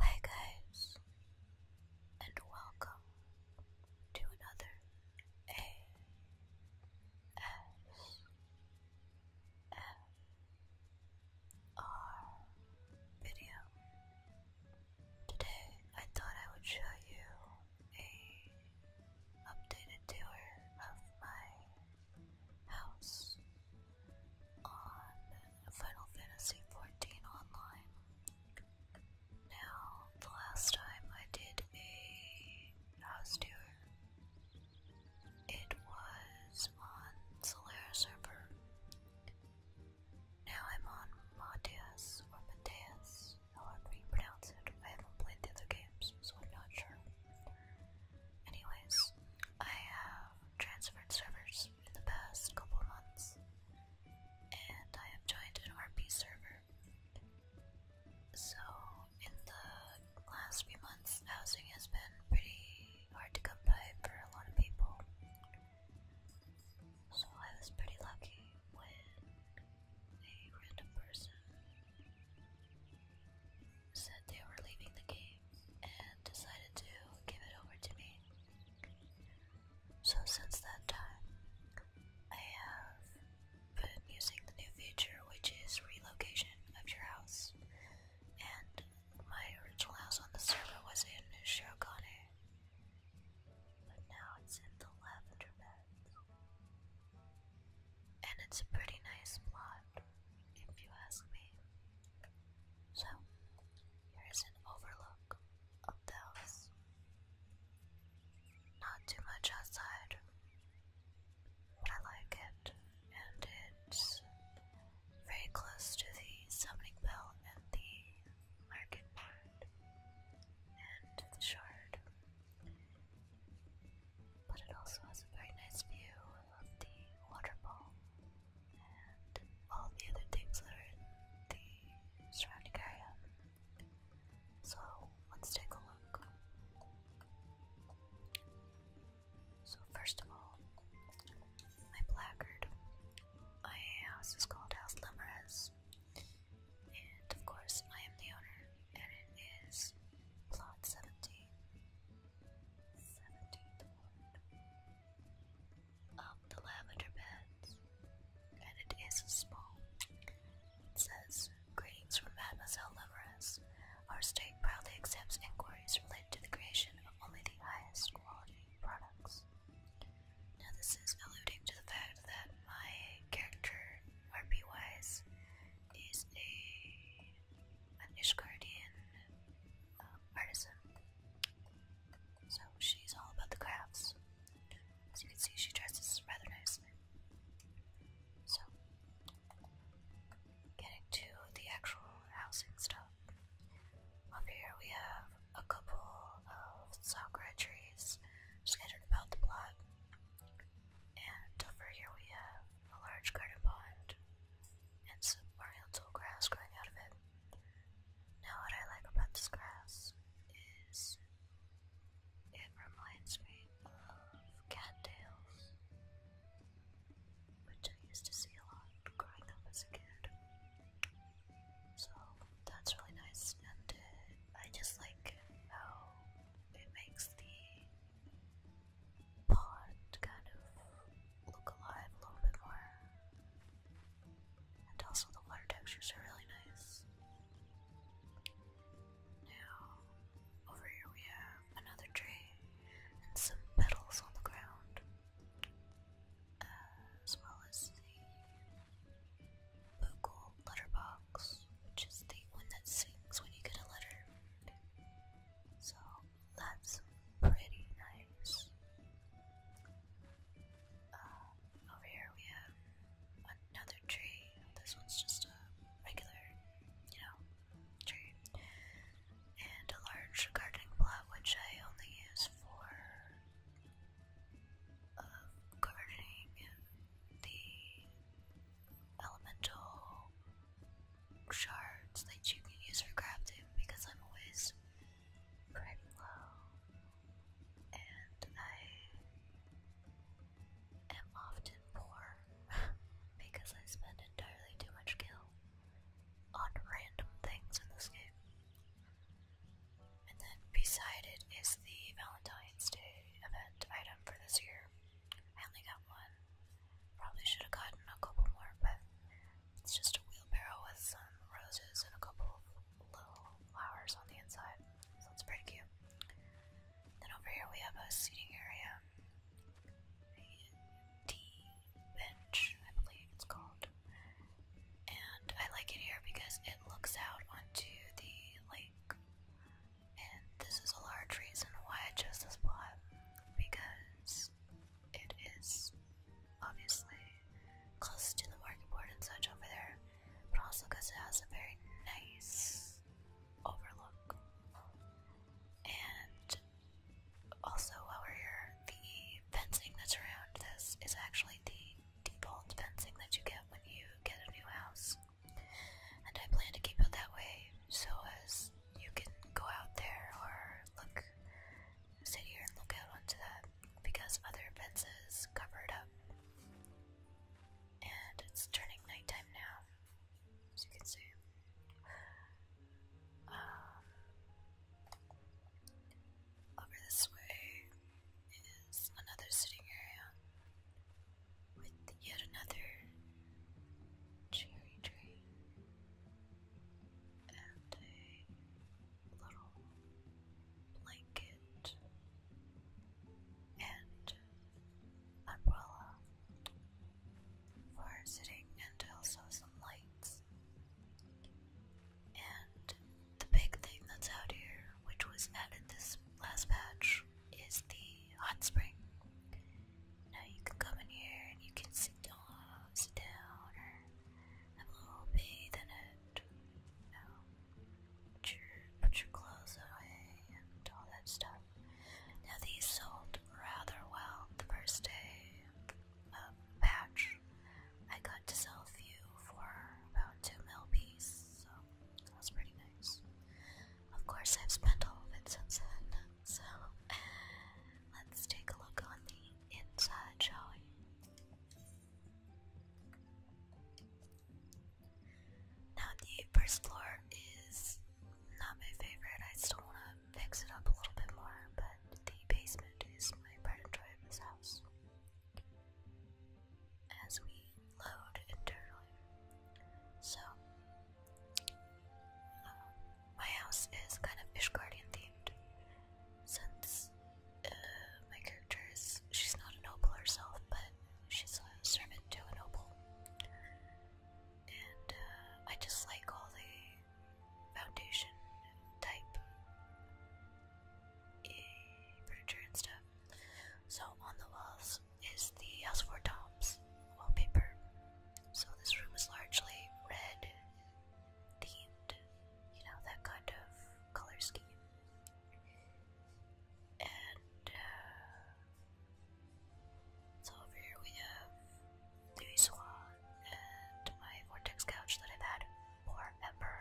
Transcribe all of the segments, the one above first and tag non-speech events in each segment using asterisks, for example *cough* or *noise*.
Hey guys, and welcome to another ASMR video. Today I thought I would show you a updated tour of my house on Final Fantasy XIV Online. Now, the last time I did a house tour, it was on Solera server. Now I'm on Mateus or Mateus, however you pronounce it. I haven't played the other games, so I'm not sure. Anyways, I have transferred servers in the past couple months, and I have joined an RP server. So, in the last few months, housing has been pretty hard to come by for a lot of people. So, I was pretty lucky when a random person said they were leaving the game and decided to give it over to me. So, since that time, I have been using the new feature, which is relocation of your house. And my original house on the server was in Shirokane, but now it's in the lavender Beds and it's a pretty nice plot, if you ask me. So, here's an overlook of the house. Not too much outside, I like it, and it's very close to the summoning bell and the market and the shard but it also has a very nice view of the waterfall and all the other things that in the surrounding area. So let's take a look. So first of all, my placard. My house is called House Lemerez, and of course I am the owner, and it is Plot 17. Seventeenth the lavender beds. And it is small. says, Greetings from Mademoiselle Leverous. Our state proudly accepts inquiries related to the creation of only the highest quality products. Now this is alluding to the fact that my character, RPWise, is a an Ishgardian um, artisan. So she's all about the crafts. As you can see, she dresses rather nicely. So, getting to the actual housing stuff. Up here we have a couple of sakura trees scattered about the plot. And over here we have a large garden pond, and some oriental grass growing out of it. Now, what I like about this grass is it reminds me of cat tails, which I used to see a lot growing up as a kid. So that's really nice, and I just like how it makes the pod kind of look alive a little bit more. And also the water textures are really nice. Now, over here we have another tree and some petals on the ground, as well as the Moogle letterbox, which is the one that sings when you get a letter. So that's pretty nice. Uh, over here we have another tree. This one's just a regular, you know, tree. And a large gardening plot, which I only use for uh, gardening the elemental shards that you can use for crafting because I'm always pretty low and I am often poor *laughs* because I spend entirely too much kill on random things in this game. And then beside it is the Valentine's Day event item for this year. I only got one, Probably should have gotten a couple more, but it's just a wheelbarrow with some roses and a couple of little flowers on the inside. So it's pretty cute. Then over here we have a seating area. A tea bench, I believe it's called. And I like it here because it looks out onto the lake. And this is a large reason why I chose this plot because because it is obviously close to the market board and such over there, but also because it has a very nice overlook. And also, while we're here, the fencing that's around this is actually the default fencing that you get when you get a new house. And I plan to keep it that way so as you can go out there or look, sit here and look out onto that because other fences covered up. And it's turning nighttime now, as you can see. Um, over this way is another sitting area with yet another cherry tree and a little blanket and umbrella for sitting and also some lights. And the big thing that's out here, which was added this last patch, is the hot spring. Now you can come in here and you can sit down, sit down, or have a little bathe in it. put your, clothes away and all that stuff. Now these sold rather well the first day. A patch. I got to sell a few for about two mil piece, so that was pretty nice. Of course, I've spent all of it since then, *laughs* so Let's take a look on the inside, shall we? Now, the first floor is not my favorite. I still want to fix it up a little bit more, but the basement is my pride and of this house. As we load internally. So, uh, my house is kind of fish Guardian themed, since uh, my character is she's not a noble herself, but she's a servant to a noble, and uh, I just like all the foundation type eh, furniture and stuff. So on the walls is the House for Toms wallpaper. So this room is largely red themed, you know, that kind of color scheme. And uh, so over here we have Louis Swan and my Vortex couch that I've had for forever.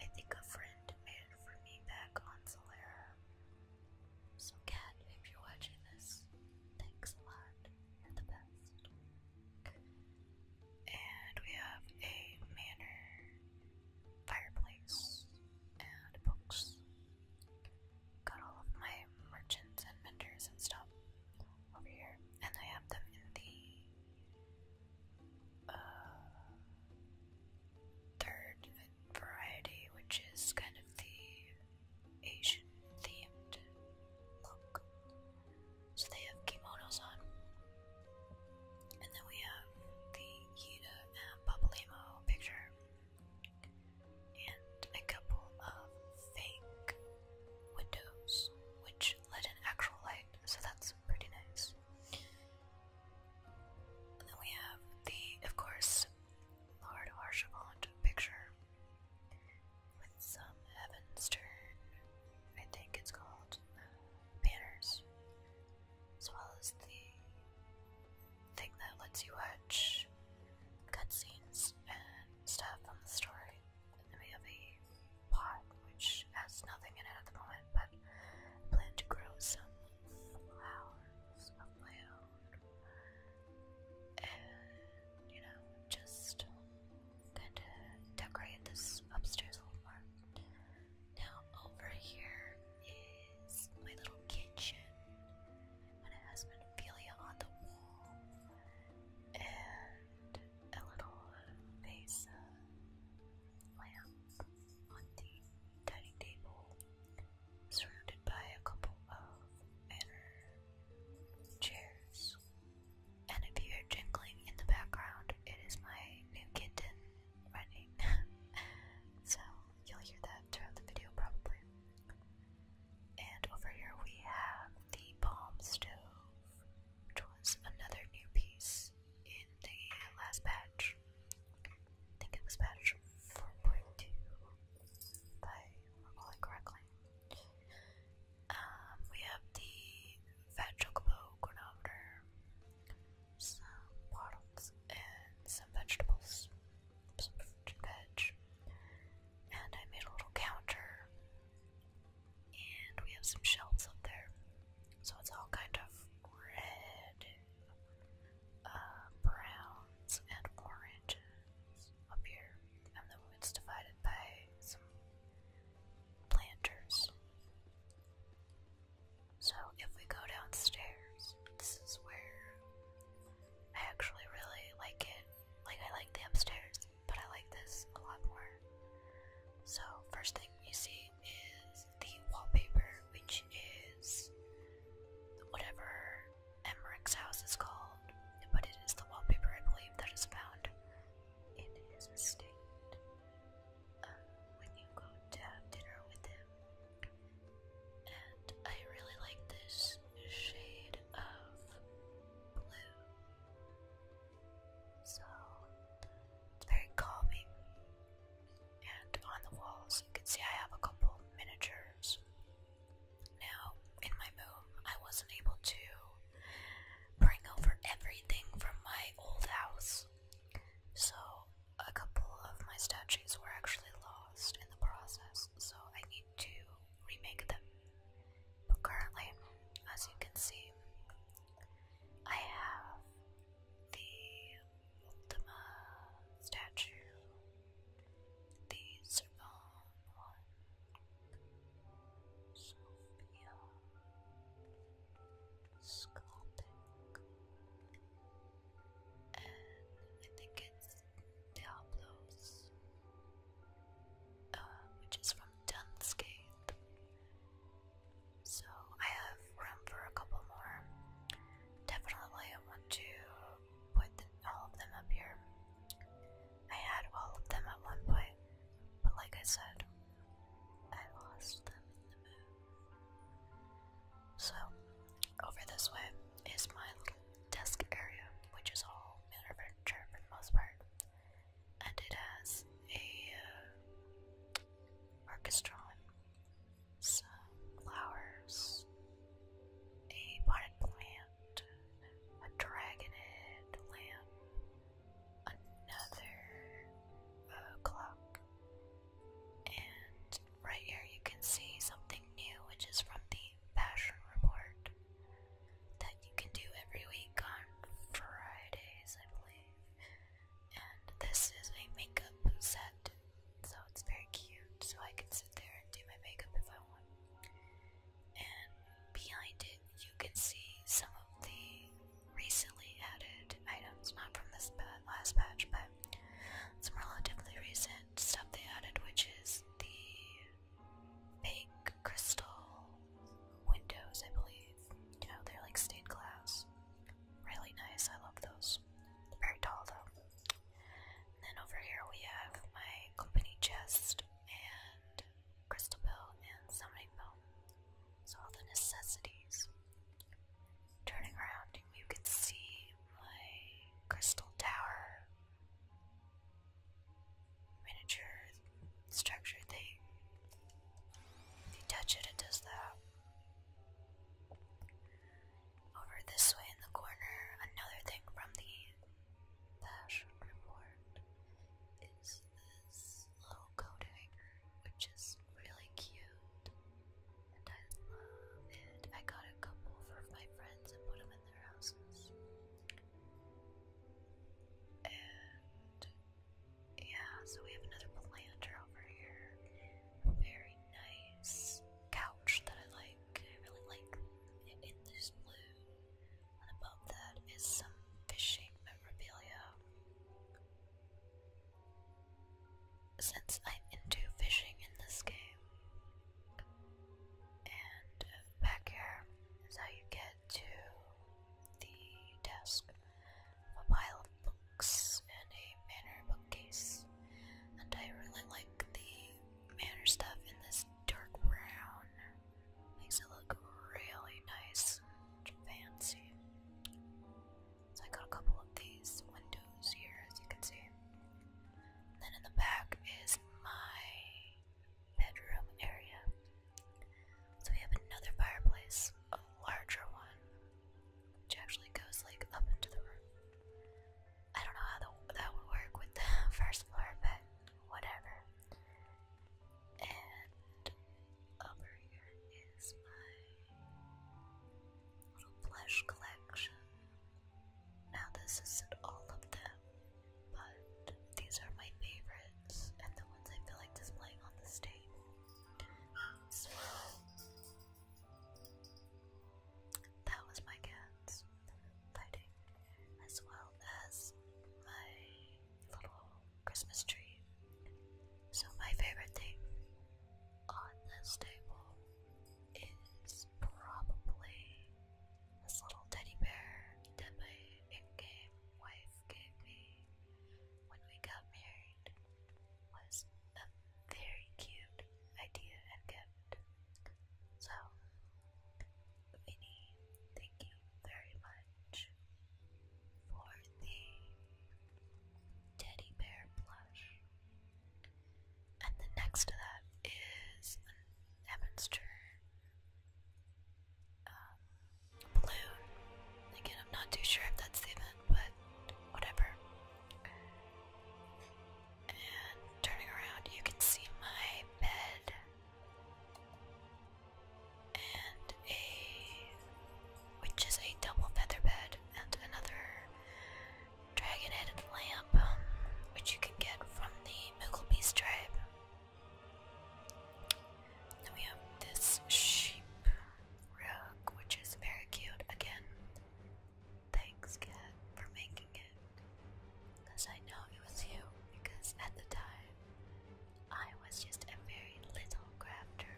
I think a friend made it for me back on Solera. So, cat, if you're watching this, Thanks a lot. You're the best. And we have a manor, fireplace, and books. Got all of my merchants and vendors and stuff over here, and I have them in the uh, third variety, which is kind of the Asian themed look. So they have kimonos on. And then we have the Yida and Papalimo picture. And a couple of fake windows which let in actual light, so that's pretty nice. And then we have the, of course, Lord Harshavant picture with some Evan I think it's called, uh, banners, as well as the thing that lets you watch cutscenes and stuff from the story. then we have a pot which has nothing in it at the moment, but I plan to grow some flowers of my own and you know, just kind of decorate this upstairs a little more. Now, over here is my little kitchen, and it has on the wall, and a little vase lamp on the dining table, surrounded by a couple of Cheers. And if you hear jingling in the background, it is my new kitten running. *laughs* so you'll hear that throughout the video probably. And over here we have the palm stove, which was another new piece in the last patch. I think it was batch 4.2, if I recall correctly. Um, we have the Fat Chocobo chronometer, some bottles, and some vegetables, some and veg. And I made a little counter, and we have some shelves up there. So it's all kind of red, uh, browns, and oranges up here, and then it's divided by some planters. So if we go downstairs, this is where I actually really like it. Like I like the upstairs, but I like this a lot more. So first thing you see is the wallpaper, which is whatever Emmerich's house is called, but it is the wallpaper I believe that is found in his estate. Uh, when you go to have dinner with him. And I really like this shade of blue. So it's very calming. And on the walls, you can see I have a couple miniatures now, in my move, I wasn't able to bring over everything from my old house, so a couple of my statues were actually lost in the process, so I need to remake them. But currently, as you can see, I have the Ultima statue these are gone like Sophia, Sculptic, and I think it's Diablos, uh, which is from Dunscape. So I have room for a couple more. Definitely, I want to put all of them up here. I had all of them at one point, but like I said, I lost them in the move. So, over this way is my little desk area, which is all manner furniture for the most part, and it has a uh, orchestra, some flowers, a potted plant plant, a dragonhead lamp, another uh, clock, and right here you can see something new, which is from the fashion Report that you can do every week on Fridays, I believe. And this is a makeup set, so it's very cute. So I can sit there and do my makeup if I want and behind it you can see some of the recently added items, not from this last patch, but some relatively recent stuff they added, which is the pink crystal windows, I believe. You know, they're like stained glass. Really nice, I love those. They're very tall though. And then over here we have my company chest and crystal bell and summoning bell. So all the necessities. Turning around, you can see my crystal tower miniature structure thing. If you touch it, it does that. Over this way in the corner, another thing from the Passion Report is this little coding, which is really cute, I love it. I got a couple for my friends and put them in their houses. And yeah, so we have another planter over here. very nice couch that I like. I really like in this blue and above that is some fish-shaped memorabilia. Since I'm into fishing in this game, and uh, back here is how you get to the desk of a pile of books and a manor bookcase. And I really like the manor stuff in this dark brown. Makes it look really nice and fancy. So I got a couple of these windows here, as you can see. then in the back is my bedroom area. So we have another fireplace, a larger one, which actually goes like up into the room. I don't know how the, that would work with the *laughs* first floor, but whatever. And over here is my little plush collection. Now, this isn't all of them, but these are my favorites and the ones I feel like displaying on the stage. that was my cats as well as my little Christmas tree. So, my favorite thing on this table is probably this little teddy bear that my in game wife gave me when we got married. Was a very cute idea and gift. So, Vinny, thank you very much for the teddy bear plush. And then next to that is an Emonster um, balloon. Again, I'm not too sure if that's the but whatever. And turning around, you can see my bed and a which is a double feather bed and another dragon-headed lamp um, which you can get from the Moogle Beast tribe. Then we have this sheep rug which is very cute again. Thanks cat for making because I know it was you, because at the time, I was just a very little crafter.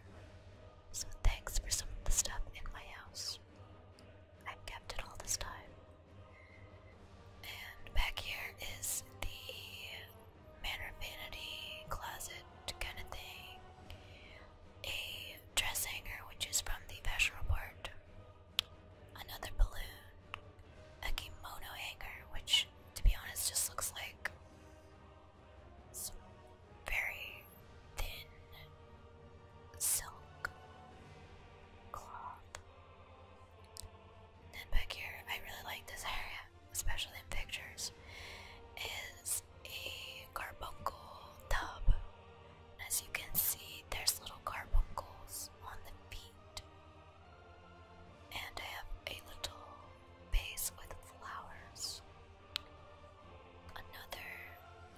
So thanks for some of the stuff in my house. i kept it all this time. And back here is the Manor Vanity closet kind of thing. A dress hanger, which is from the fashion report another balloon, a kimono hanger, which, to be honest, just looks like very thin silk cloth. And back here, I really like this area, especially in pictures, is a carbuncle tub. as you can see, there's little carbuncles on the feet and I have a little base with flowers. Another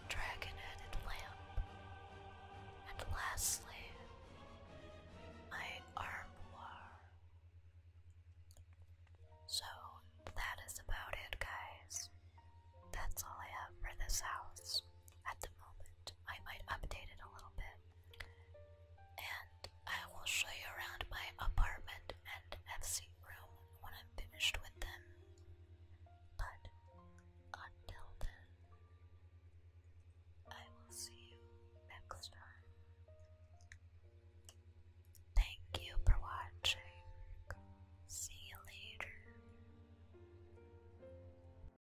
dragon headed lamp. And lastly, my armoire. So that is about it, guys. That's all I have for this house. At the moment, I might update it a little bit. And I will show you around my apartment and FC room when I'm finished with them. But until then, I will see you next time. Thank you for watching. See you later.